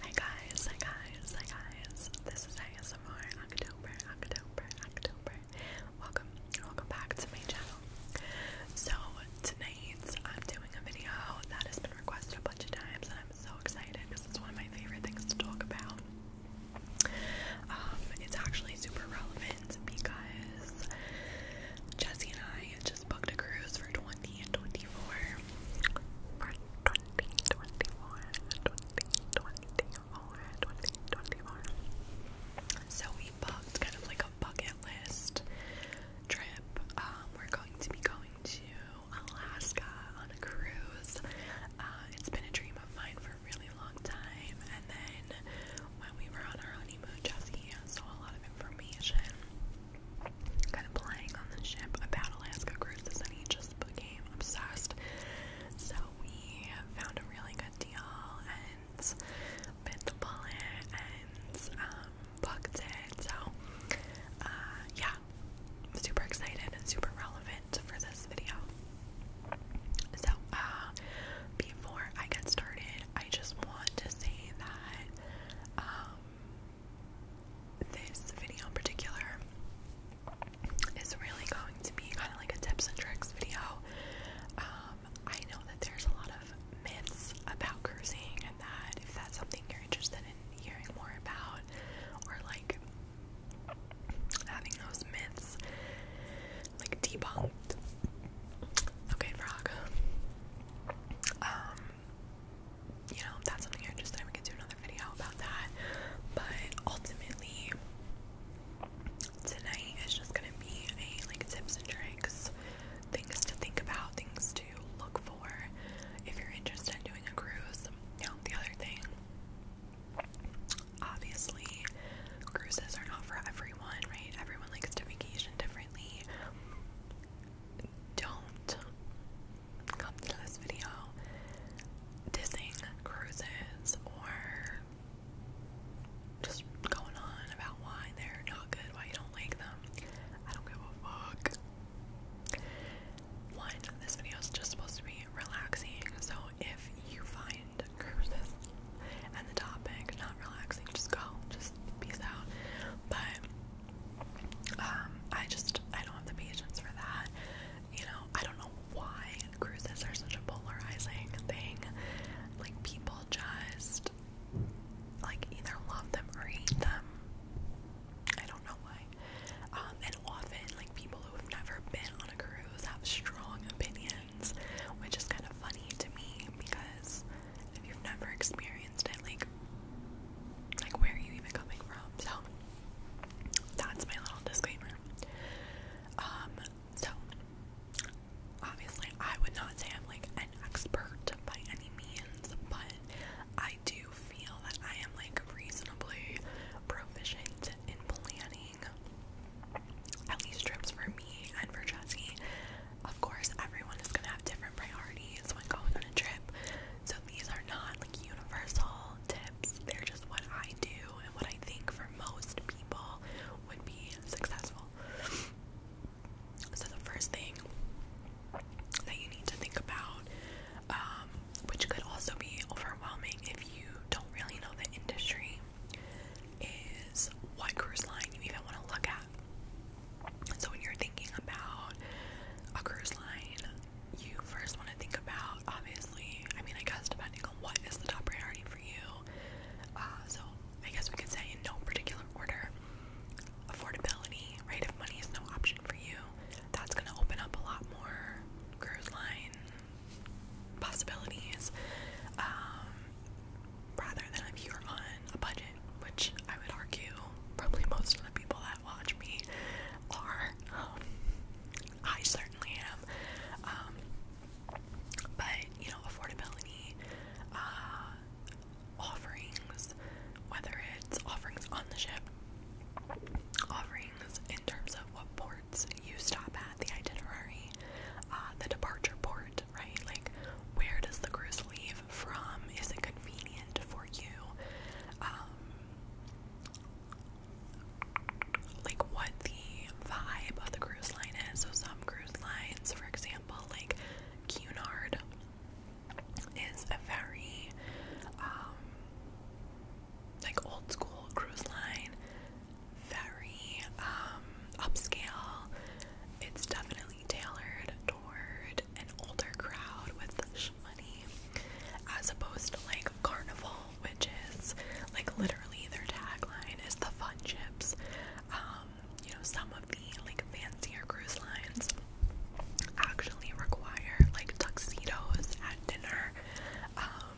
Hi guys, hi guys, hi guys. This is ASMR October, October, October. Welcome, welcome back to my channel. So tonight I'm doing a video that has been requested a bunch of times and I'm so excited because it's one of my favorite things to talk about. Um, it's actually super relevant because Jesse and I I just booked a cruise for 2024. For 2024. So we booked kind of like a bucket list trip. Um, we're going to be going to Alaska on a cruise. Uh, it's been a dream of mine for a really long time. And then when we were on our honeymoon, Jesse saw a lot of information kind of playing on the ship about Alaska cruises, and he just became obsessed. So we found a really good deal and bit the bullet and um, booked it. So uh, yeah, I'm super excited and super relevant for this video. So uh, before I get started, I just want to say that. Um, this video in particular is really going to be kind of like a tips and tricks video. Um, I know that there's a lot of myths about cruising, and that if that's something you're interested in hearing more about, or like having those myths like debunked. Okay, frog. Um, you know, that's something I just, I could do another video about that, but ultimately, tonight is just gonna be a, like, tips and tricks, things to think about, things to look for, if you're interested in doing a cruise, you know, the other thing, obviously, cruises are not for everyone, right, everyone likes to vacation differently, don't come to this video dissing cruises or just going on about why they're not good, why you don't like them. I don't give a fuck. One, this video is just supposed to be relaxing, so if you find cruises and the topic not relaxing, just go, just peace out. But um, I just I don't have the patience for that. You know, I don't know why cruises are such a polarizing thing. Like people just like either love them or hate them. I don't know why. Um, and often like people who have never been on a cruise have strong opinions, which is kind of funny to me because if you've never experienced it, like like where are you even coming from? So that's my little disclaimer. Um, so obviously I would not say I'm like an expert by any means, but I do feel that I am like reasonably proficient in planning at least trips for me and for Jesse. Of course everyone is gonna have different priorities when going on a trip. So these are not like universal tips. They're just what I do and what I think for most people would be successful. So the first thing that you need to think about, um, which could also be overwhelming if you don't really know the industry, is what cruise line you even want to look at. So when you're thinking about a cruise line, you first want to think about obviously, I mean I guess depending on what is the top priority for you. Uh, so I guess we could say in no particular order, affordability, right? If money is no option for you, that's gonna open up a lot more cruise line possibilities. Um rather than if you're on a budget, which I would argue probably most of the people that watch me are. Um, I certainly am. Um, but, you know, affordability, uh, offerings, whether it's offerings on the ship, offerings in terms of what ports you stop at, the itinerary, uh, the departure port, right? Like, where does the cruise leave? from? Is it convenient for you? Um, like what the vibe of the cruise line is. So some cruise lines, for example, like Cunard, is a very um, like old school cruise line, very um, upscale. It's definitely tailored toward an older crowd with money as opposed to like Carnival, which is like literally their tagline is the fun chips. Um, you know, some of the like fancier cruise lines actually require like tuxedos at dinner. Um,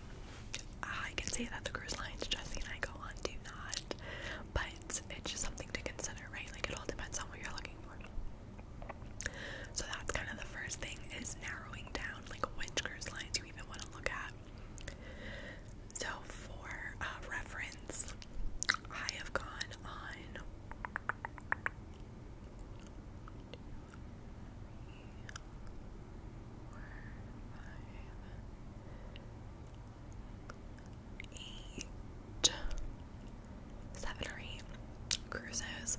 I can say that the cruise lines Jesse and I go on do not, but it's just something to consider, right? Like, it all depends on what you're looking for. So that's kind of the first thing is narrowing down like which cruise lines you even want to look at. So for uh, reference, I have gone on eight, seven or eight cruises.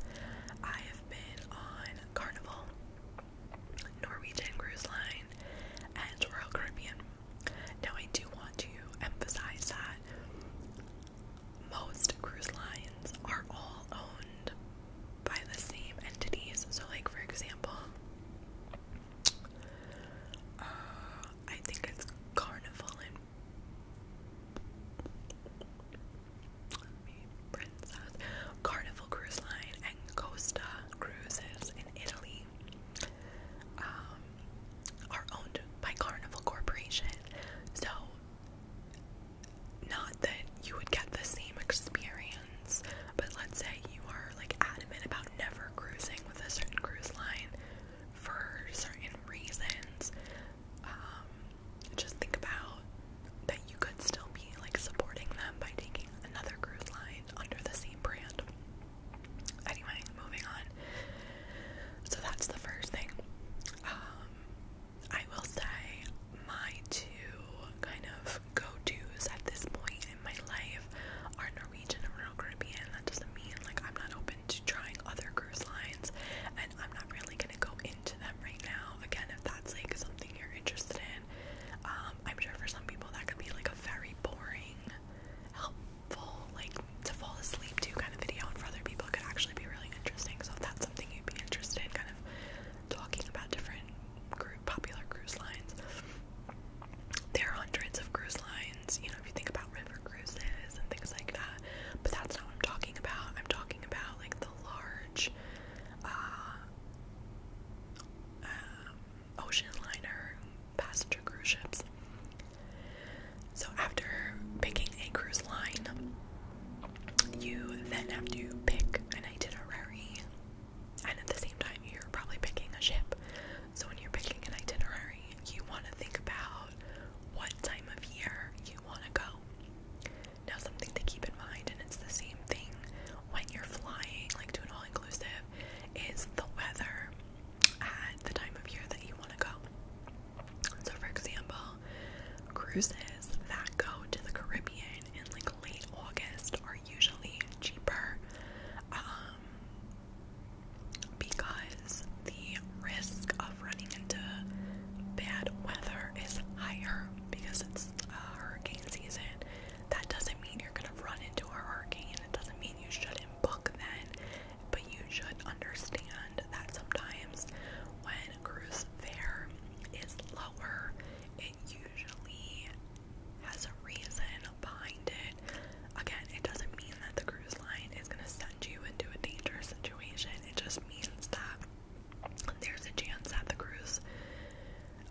I have been on Carnival, Norwegian Cruise Line, and Royal Caribbean. Now, I do want to emphasize that most cruise lines are all owned by the same entities. So, like, for example, uh, I think it's Carnival in Carnival Cruise Line, and Costa Cruises in Italy um, are owned by Carnival Corporation. So, not that you would get the same experience, but let's say you are like adamant about never cruising with a certain cruise line for certain reasons, um, just think about that you could still be like supporting them by taking another cruise line under the same brand. Anyway, moving on. So that's the first thing. Um, I will say my two kind of go tos at this point in my life are Norwegian and Royal Caribbean. That doesn't mean like I'm not open open to trying other cruise lines, and I'm not really gonna go into them right now. Again, if that's like something you're interested in, um, I'm sure for some people that could be like a very boring, helpful, like to fall asleep to kind of video, and for other people, it could actually be really interesting. So if that's something you'd be interested in, kind of talking about different group popular cruise lines. There are hundreds of cruise lines you know, if you think about river cruises and things like that. But that's not what I'm talking about. I'm talking about like the large uh, um, ocean liner passenger cruise ships. So after picking a cruise line, you then have to pick an itinerary, and at the same time, you're probably picking a ship. So when you're picking an itinerary, you want to think about what time of year you want to go. Now, something to keep in mind, and it's the same thing when you're flying, like to an all inclusive, is the weather at the time of year that you want to go. So, for example, cruises that go to the Caribbean in like late August are usually cheaper. Um, because the risk of running into bad weather is higher because it's uh, hurricane season. That doesn't mean you're going to run into a hurricane, it doesn't mean you shouldn't book then, but you should understand that sometimes when cruise fare is lower, it usually has a reason behind it. Again, it doesn't mean that the cruise line is going to send you into a dangerous situation. It just means that there's a chance that the cruise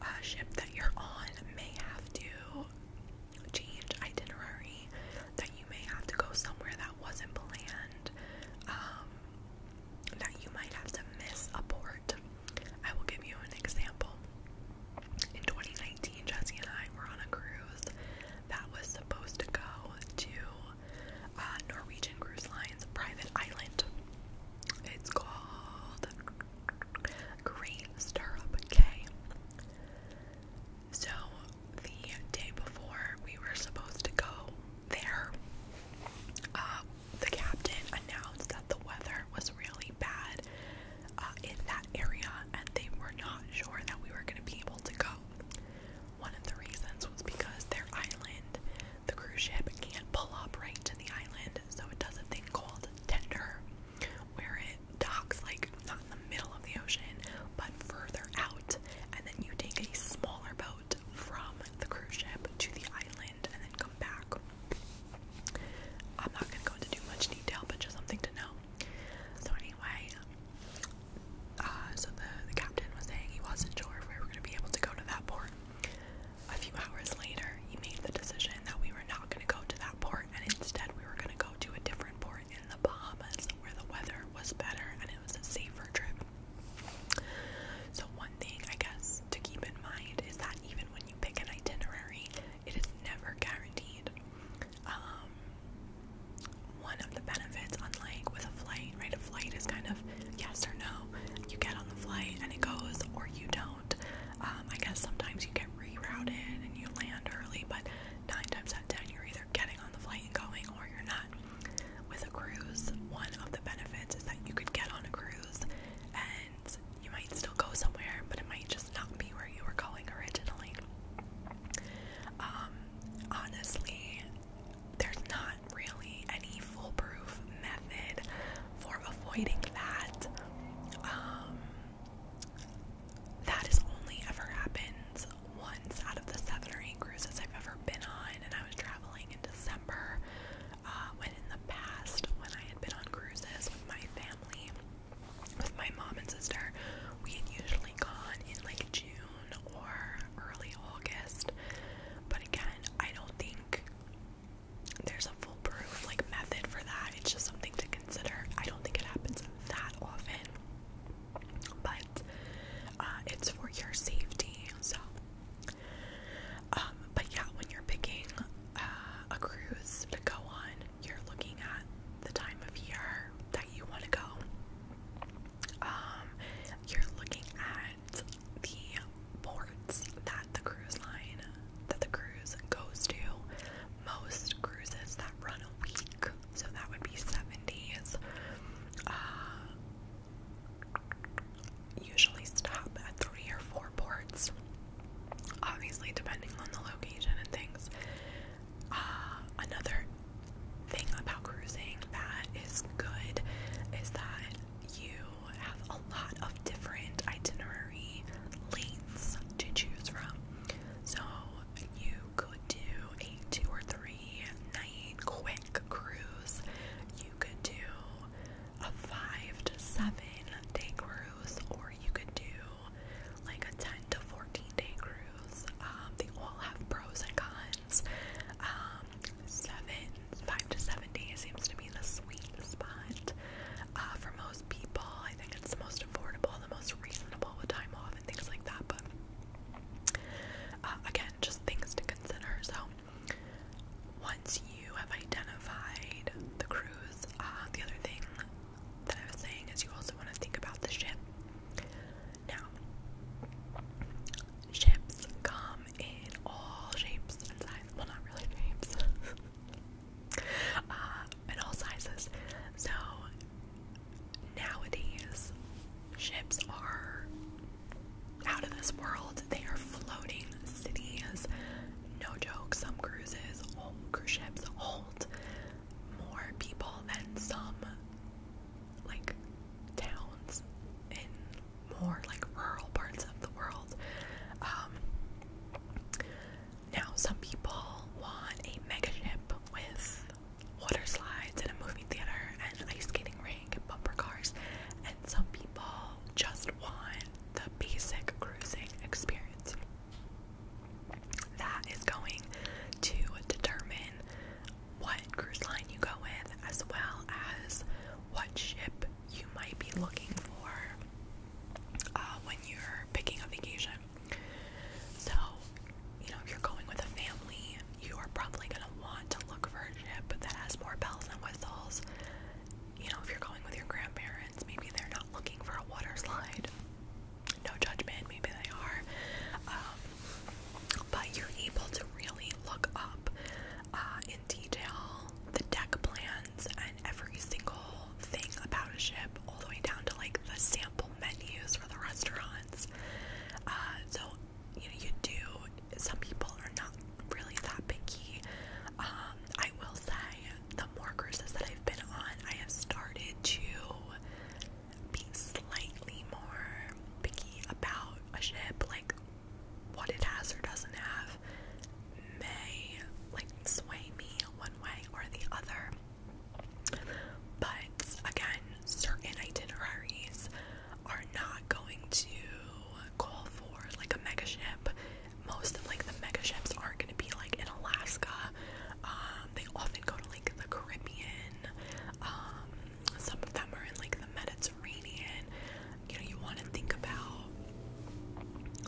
uh, ship that you're on may have to change itinerary, that you may have to go somewhere that wasn't planned, um, that you might have to miss a port. I will give you an example. In 2019, 2019, Jesse and I were on a cruise that was supposed to go to uh, Norwegian Cruise Line's private island. It's called Great Stirrup Cay. So, the day before we were supposed to go there, uh, the captain announced that the weather was really bad uh, in that area and they were not sure that we were going to be able to go one of the reasons was because their island, the cruise ship, can't pull up right to the island, so it does a thing called tender, where it docks like not in the middle of the ocean, but further out, and then you take a smaller boat from the cruise ship to the island and then come back. I'm not gonna go into too much detail, but just something to know. So, anyway, uh, so the, the captain was saying he wasn't sure if we were going to be able to go to that port. A few hours later, he made the decision that we were not going to go to that port, and instead we were going to go to a different port in the Bahamas where the weather was better and it was a safer trip. So, one thing I guess to keep in mind is that even when you pick an itinerary, it is never guaranteed um, one of the benefits, unlike with a flight, right? A flight is kind of yes or no. You get on the flight and it goes, or you don't. Um, I guess sometimes you get rerouted and you land early, but nine times out of ten, you're either getting on the flight and going, or you're not. With a cruise, one of the benefits is that you could get on a cruise and you might still go somewhere, but it might just not be where you were going originally. Um, honestly, there's not really any foolproof method for avoiding that. Um, that has only ever happened once out of the seven or eight cruises I've ever been on, and I was traveling in December. Uh, when in the past, when I had been on cruises with my family, with my mom and sister, we had usually gone in like June or early August. But again, I don't think there's a foolproof like method for that. It's just something to consider. I don't think it happens that often. But uh, it's for your safety. So, um, but yeah, when you're picking uh, a cruise to go on, you're looking at the time of year that you want to go. Um, you're looking at the ports that the cruise line that the cruise goes to. Most cruises that run a week, so that would be seven days. Uh, usually stop at three or four ports. Obviously, depending on the location and things. Uh, another thing about cruising that is good is that you have a lot of different itinerary lengths to choose from. So you could do a two or three night quick cruise. You could do a five to seven day cruise, or you could do like a 10 to 14 day cruise. Um, they all have pros and cons. Um, seven, five to seven days seems to be the sweet spot uh, for most people. I think it's the most affordable, the most reasonable with time off and things like that. But uh, again, just things to consider. So once you have identified the cruise, uh, the other thing that I was saying is you also want to think about the ship. Now, ships come in all shapes and sizes. Well, not really shapes. uh, in all sizes. So, nowadays, ships are out of this world. They are floating cities. No joke, some cruises, whole cruise ships hold more people than some like towns in more like rural parts of the world. Um, now, some people want a megaship with water slides and a movie theater and an ice skating rink and bumper cars, and some people just want the basic cruising experience. That is going to determine what cruise line you go with, as well as what ship you might be looking for uh, when you're picking a vacation. So, you know, if you're going with a family, you are probably going to want to look for a ship that has more bells and whistles. You know, if you're going with your grandparents, maybe they're not looking for a water slide no judgment, maybe they are. Um, but you're able to really look up uh, in detail the deck plans and every single thing about a ship, all the way down to like the sample menus for the restaurants. Uh, so, you know, you do, some people are not really that picky. Um, I will say, the more cruises that I've been on, I have started to be slightly more picky about a ship, like what it has or doesn't have, may like sway me one way or the other. But again, certain itineraries are not going to call for like a mega ship. Most of like the mega ships aren't going to be like in Alaska. Um, they often go to the Caribbean. Um, some of them are in like the Mediterranean. You know, you want to think about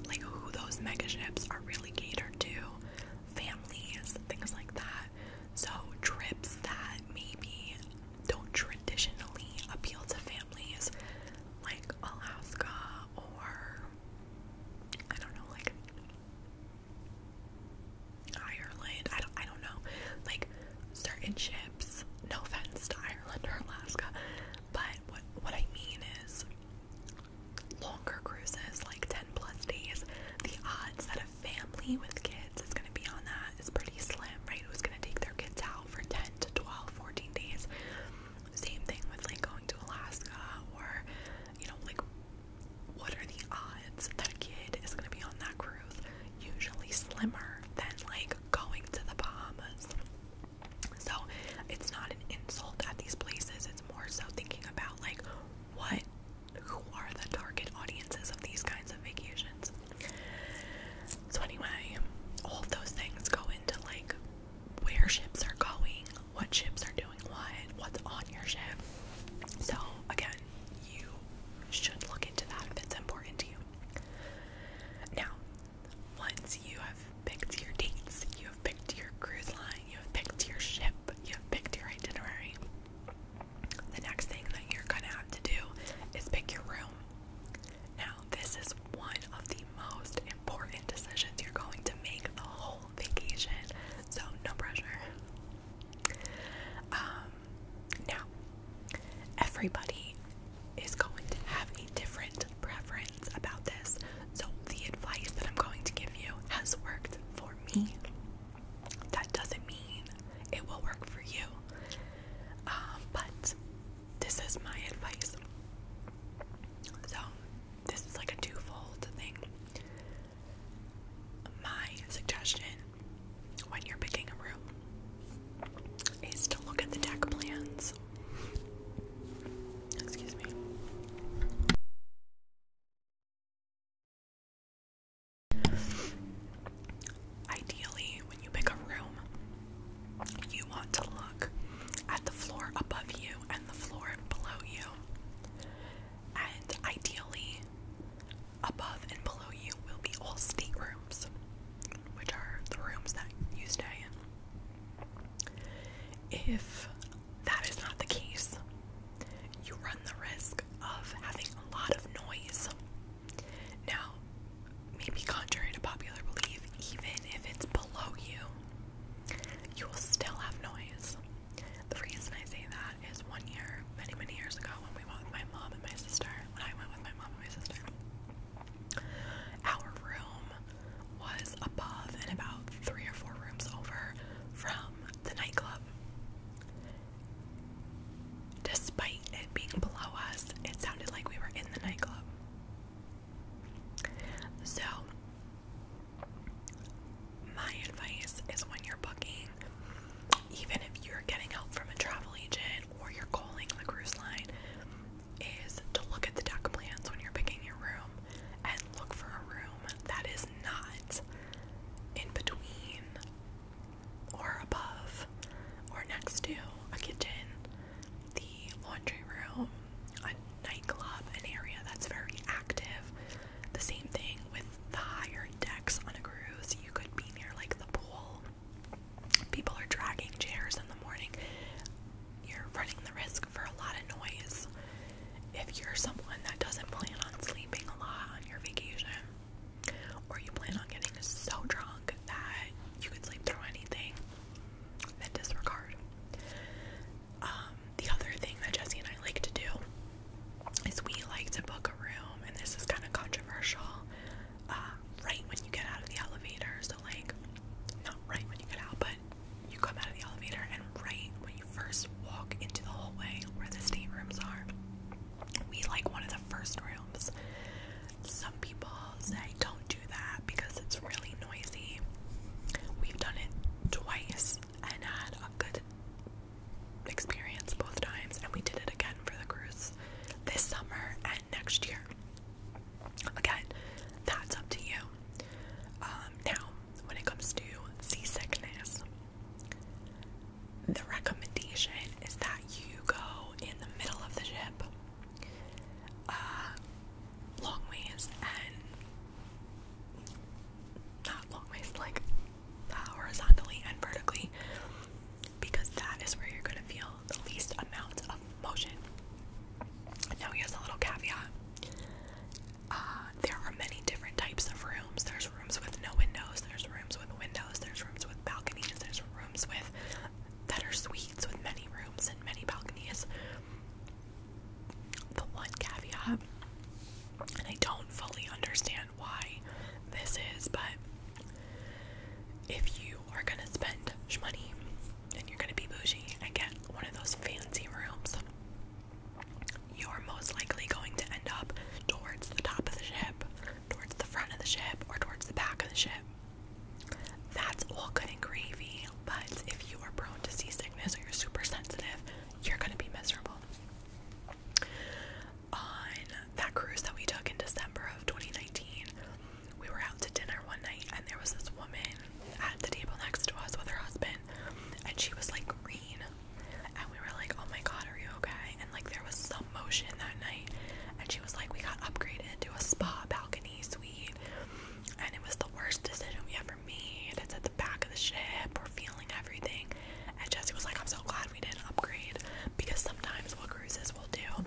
like who those mega ships are really catered to, families, things like that. So trips that maybe don't traditionally appeal to families, like Alaska or I don't know, like Ireland. I don't, I don't know. Like certain ships. No offense to Ireland or Alaska, but what what I mean is longer cruises, like ten plus days. The odds that a family with kids is going to be on that is pretty slim, right? Who's going to take their kids out for ten to 12, 14 days? Same thing with like going to Alaska or you know like what are the odds that a kid is going to be on that cruise? Usually slimmer than like going to the Bahamas. So it's not an insult at these places, it's more so thinking about like what who are the target audiences of these kinds of vacations. So anyway, all of those things go into like where ships are going, what ships are doing what, what's on your ship. So, again, you should look into that if it's important to you. Now, once you have picked your dates, you have picked your cruise line, you have picked your ship, you have picked your itinerary, the next thing that you're gonna have to do is pick your room. Now, this is one of the most important decisions you're going to make the whole vacation, so no pressure. Um, now, everybody is going to have a different preference about this, so the advice that I'm going to give you has worked for me. That doesn't mean it will work for you, um, but this is my advice. So, this is like a twofold thing my suggestion when you're picking a room is to look at the deck plans. Excuse me. Ideally, when you pick a room, you want to look at the floor above you and the floor below you and ideally, above and below you will be all staterooms, which are the rooms that you stay in. If that is not the case, you run the risk of having a lot of noise. Now, maybe contrary to popular belief, even if it's below you, you will still have noise. The reason I say that is one year, many, many years ago, when we went with my mom and my sister, when I went with my mom and my sister, our room was above and about three or four rooms over from the nightclub. Despite it being below us, it sounded like we were in the nightclub. So, my advice is when you're booking, even if you're getting help from a travel agent or you're calling the cruise line, is to look at the deck plans when you're picking your room and look for a room that is not in between or above or next to a kitchen, the laundry room, a nightclub, an area that's very active, the same thing with the higher decks on a cruise. You could be near like the pool. People are dragging chairs in the morning. You're running the risk for a lot of noise. If you're someone that doesn't plan on sleeping a lot on your vacation, or you plan on getting so drunk that you could sleep through anything, then disregard um, the other thing that Jesse and I like to do is we like to book a room, and this is kind of controversial. Uh, right when you get out of the elevator, so like, not right when you get out, but you come out of the elevator, and right when you first walk into the hallway where the staterooms are, we like one of the first rooms. Some people say don't do that because it's really noisy. We've done it twice once and had a good experience both times, and we did it again for the cruise this summer and next year. Again, that's up to you. Um, now, when it comes to seasickness, the recommendation is that you go in the middle of the ship, uh, and not long like horizontally and vertically, because that is where you're going to feel the least amount of motion. Now, here's a little caveat uh, there are many different types of rooms. There's rooms with no windows, there's rooms with windows, there's rooms with balconies, there's rooms with that suites with many rooms and many balconies the one caveat, and I don't fully understand why this is, but if you are gonna spend money and you're gonna be bougie and get one of those fancy rooms, you're most likely going to end up towards the top of the ship, towards the front of the ship, or towards the back of the ship. That's all good and gravy, but if you are prone to seasickness or you're super sensitive, you're gonna be miserable. On that cruise that we took in December of 2019, we were out to dinner one night, and there was this woman at the table next to us with her husband, and she was like green. And we were like, Oh my god, are you okay? And like, there was some motion that night, and she was like, We got upgraded to a spa balcony suite, and it was the worst decision we ever me, that's at the back of the ship, we're feeling everything. And Jesse was like, I'm so glad we didn't upgrade because sometimes what cruises will do,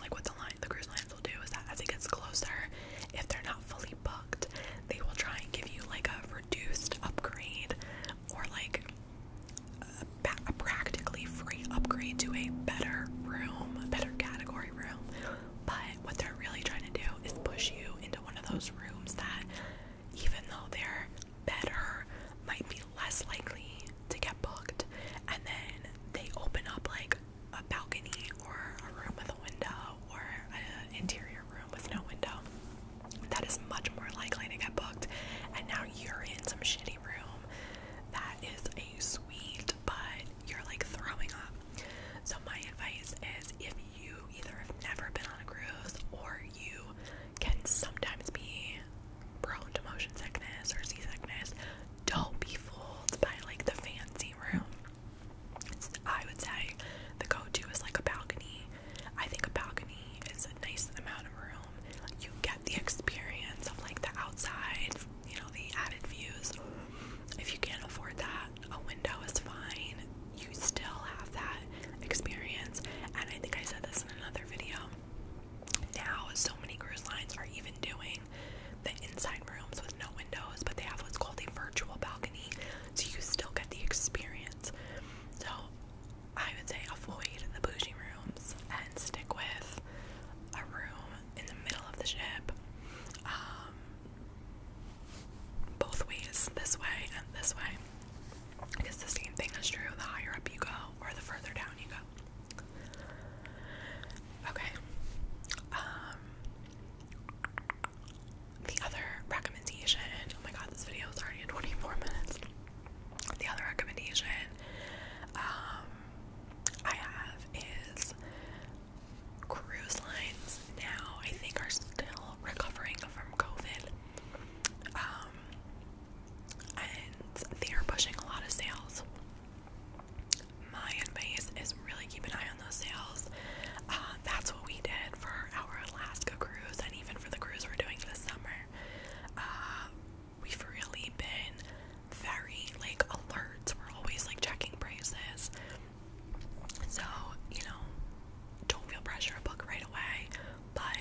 like what the cruise lines will do is that as it gets closer, if they're not fully booked, they will try and give you like a reduced upgrade or like a, practically free upgrade to a better room, a better category room. But what they're really trying to do is push you into one of those rooms that, even though they're better, might be less likely to get booked. And then they open up like a balcony or a room with a window or an interior room with no window. That is much more likely to get booked. And now you're in some shitty room that is a suite, but you're like throwing up. So, my advice is if you either have never been on a cruise or you can sometimes be prone to motion sickness or seasickness, don't be fooled by like the fancy room. I would say the go to is like a balcony. I think a balcony is a nice amount of room. You get the experience of like the outside, you know, the added views if you can't afford that, a window is fine. You still have that experience. And I think I said this in another video. Now, so many cruise lines are even doing the inside rooms with no windows, but they have what's called a virtual balcony, so you still get the experience. So, I would say avoid the bougie rooms and stick with a room in the middle of the ship. Um, both ways, this way and this way. Because the same thing is true the higher up you go or the further down you go. Okay. Um, the other recommendation, oh my god, this video is already in 24 minutes. The other recommendation um, I have is cruise lines now, I think, are still recovering from COVID. Um, and they are pushing a lot of sales. My advice is really keep an eye on those sales. Uh, that's what we did for our Alaska cruise, and even for the cruise we're doing this summer. Uh, we've really been very like alert. We're always like checking prices. So, you know, don't feel pressure to book right away, but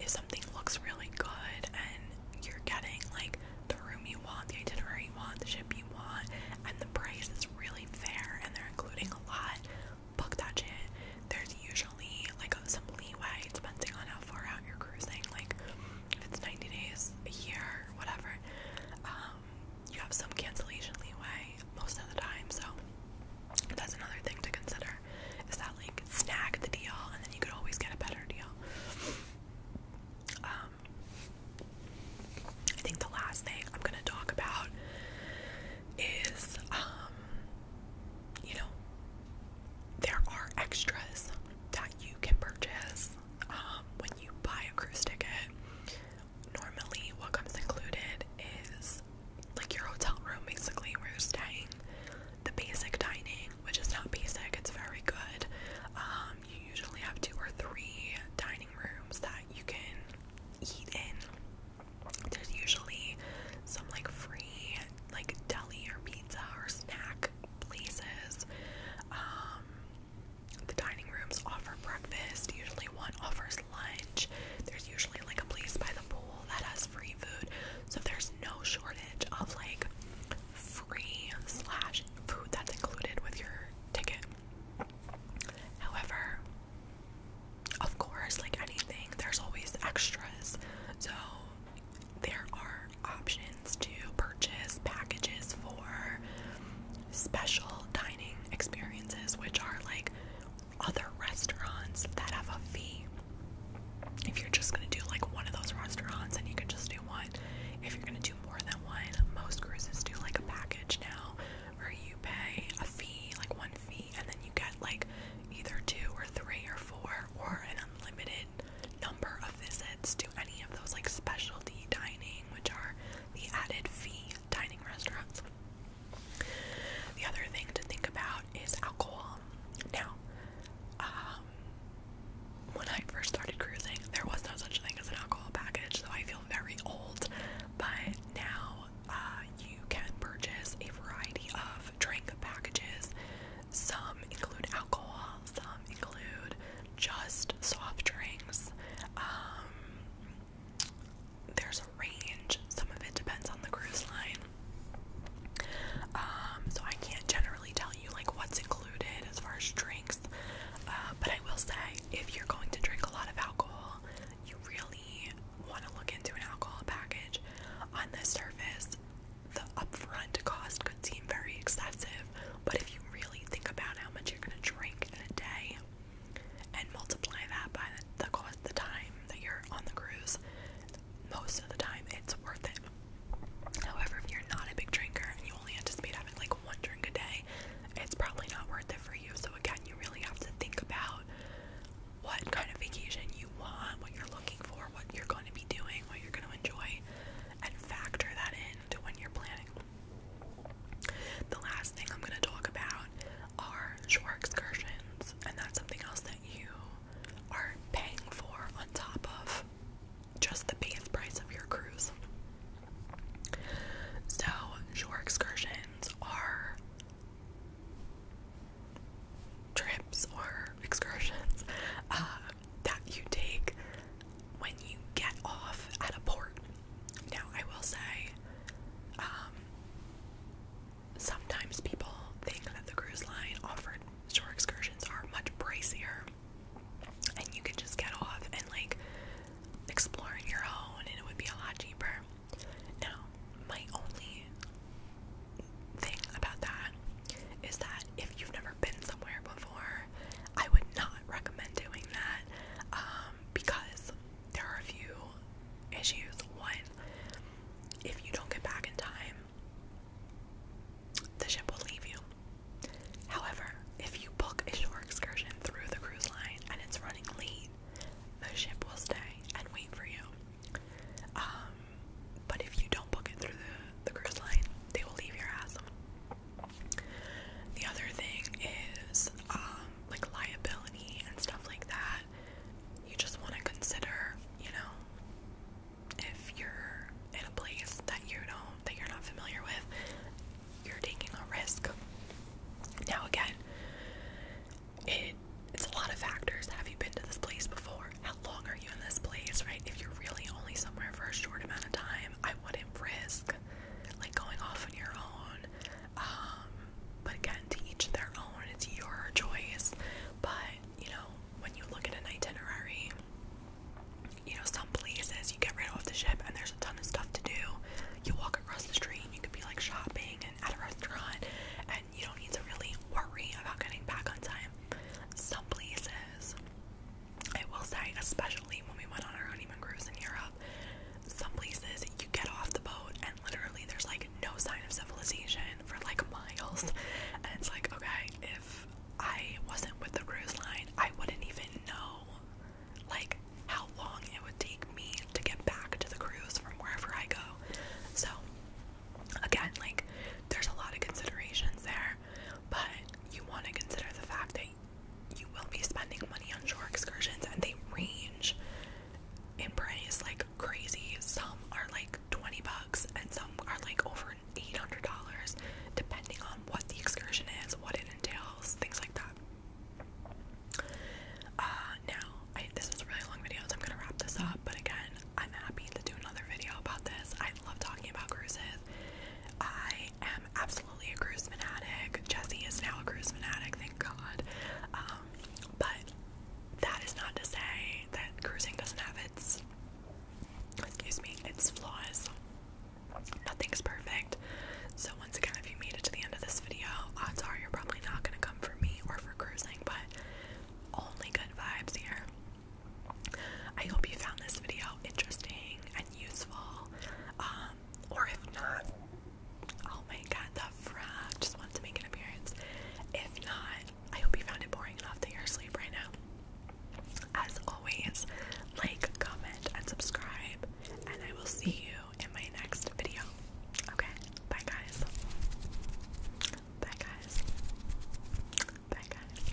if something looks really good and you're getting like the room you want, the itinerary you want, the ship you want, and the price is really fair and they're including a lot, book that shit. There's usually like some leeway depending on how far out you're cruising, like if it's 90 days, a year, whatever. Um, you have some cancellation leeway most of the time, so that's another thing to consider is that like snag the deal and then you could always get a better deal. Um, I think the last thing I'm gonna talk about is, um, you know, there are extras that you can purchase um, when you buy a cruise ticket normally what comes included is like your hotel room basically where you're staying, the basic dining, which is not basic, it's very good. Um, you usually have two or three dining rooms that you can eat in. There's usually some like free like deli or pizza or snack places. Um the dining rooms offer breakfast, usually one offers lunch. There's usually like a place by the pool that has free food. So there's no shortage of like free slash food that's included with your ticket. However, of course, like anything, there's always extras. So there are options to purchase packages for special dining experiences, which are like other restaurants that have a fee. If you're just gonna do like one of those restaurants and you can just do one, if you're gonna do more than one, most cruises do like a package now where you pay a fee, like one fee, and then you get like either two or three or four or an unlimited number of visits to any of those like specialty dining, which are the added fee dining restaurants. The other thing to think about is alcohol. Now, um, when I first started cruising, there was no such thing as an alcohol package, so I feel very old. But now uh, you can purchase a variety of drink packages. Some include alcohol, some include just soft drinks. Um, there's a range. Some of it depends on the cruise line. Um, so I can't generally tell you like what's included as far as drinks. Uh, but I will say if you're going to drink a lot of alcohol, you really want to look into an alcohol package. On the surface, the upfront cost could seem very excessive, but if you really think about how much you're going to drink in a day, and multiply that by the, cost, the time that you're on the cruise. Most of the time, it's worth it. However, if you're not a big drinker and you only anticipate having like one drink a day, it's probably not worth it for you. So again, you really have to think about what kind of vacation you want, what you're looking for, what you're going to be doing, what you're going to enjoy, and factor that in to when you're planning. The last thing I'm going to talk about are shore excursions, and that's something else that you are paying for on top of just the base price of your cruise. So, shore excursions are trips or excursions uh, that you take when you get off at a port. Now, I will say, um, sometimes people think that the cruise line offered shore excursions are much pricier, and you could just get off and like explore on your own, and it would be a lot cheaper. Now, my only thing about that is that if you've never been somewhere before, I would not recommend doing that um, because there are a few issues. One, if you don't get back in time, the ship will leave you. However, if you book a shore excursion through the cruise line and it's running late, the ship will stay and wait for you. Um, but if you don't book it through the, the cruise line, they will leave your ass. The other thing is um, like liability and stuff like that. You just want to consider, you know, if you're in a place that you don't, that you're not familiar with, you're taking a risk. Now again, it's a lot of factors. Have you been to this place before? How long are you in this place, right? If you're really only somewhere for a short amount of time, I wouldn't risk like going off on your own um, but again, to each their own, it's your choice. But you know, when you look at an itinerary, you know, some places you get rid off the ship and there's a ton of stuff to do. You walk across the street you could be like shopping and at a restaurant, and you don't need to really worry about getting back on time. Some places, I will say, especially when we went on our honeymoon cruise in Europe, some places you get off the boat and literally there's like no sign of civilization for like miles. And it's like, okay, if I wasn't with the cruise line, I wouldn't even know like how long it would take me to get back to the cruise from wherever I go. So again, like there's a lot of considerations there, but you want to consider the fact that you will be spending money on shore excursions and they range in price like crazy. Some are like 20 bucks and some are like over $800 depending on what the excursion is, what it entails, things like that. Uh, now, this was really long video, I'm going to wrap this up, but again, I'm happy to do another video about this. I love talking about cruises. I am absolutely a cruise fanatic. Jesse is now a cruise fanatic, thank God. Um, but that is not to say that cruising doesn't have its excuse me, its flaws. Nothing's perfect. So once again, if you made it to the end of this video, odds are you're probably not gonna come for me or for cruising, but only good vibes here. I hope you found this video interesting and useful. Um, um, or if not, oh my god, the frog just wanted to make an appearance. If not, I hope you found it boring enough to you sleep right now. As always, like, comment, and subscribe, and I will see you in my next video. Okay, bye guys. Bye guys. Bye guys.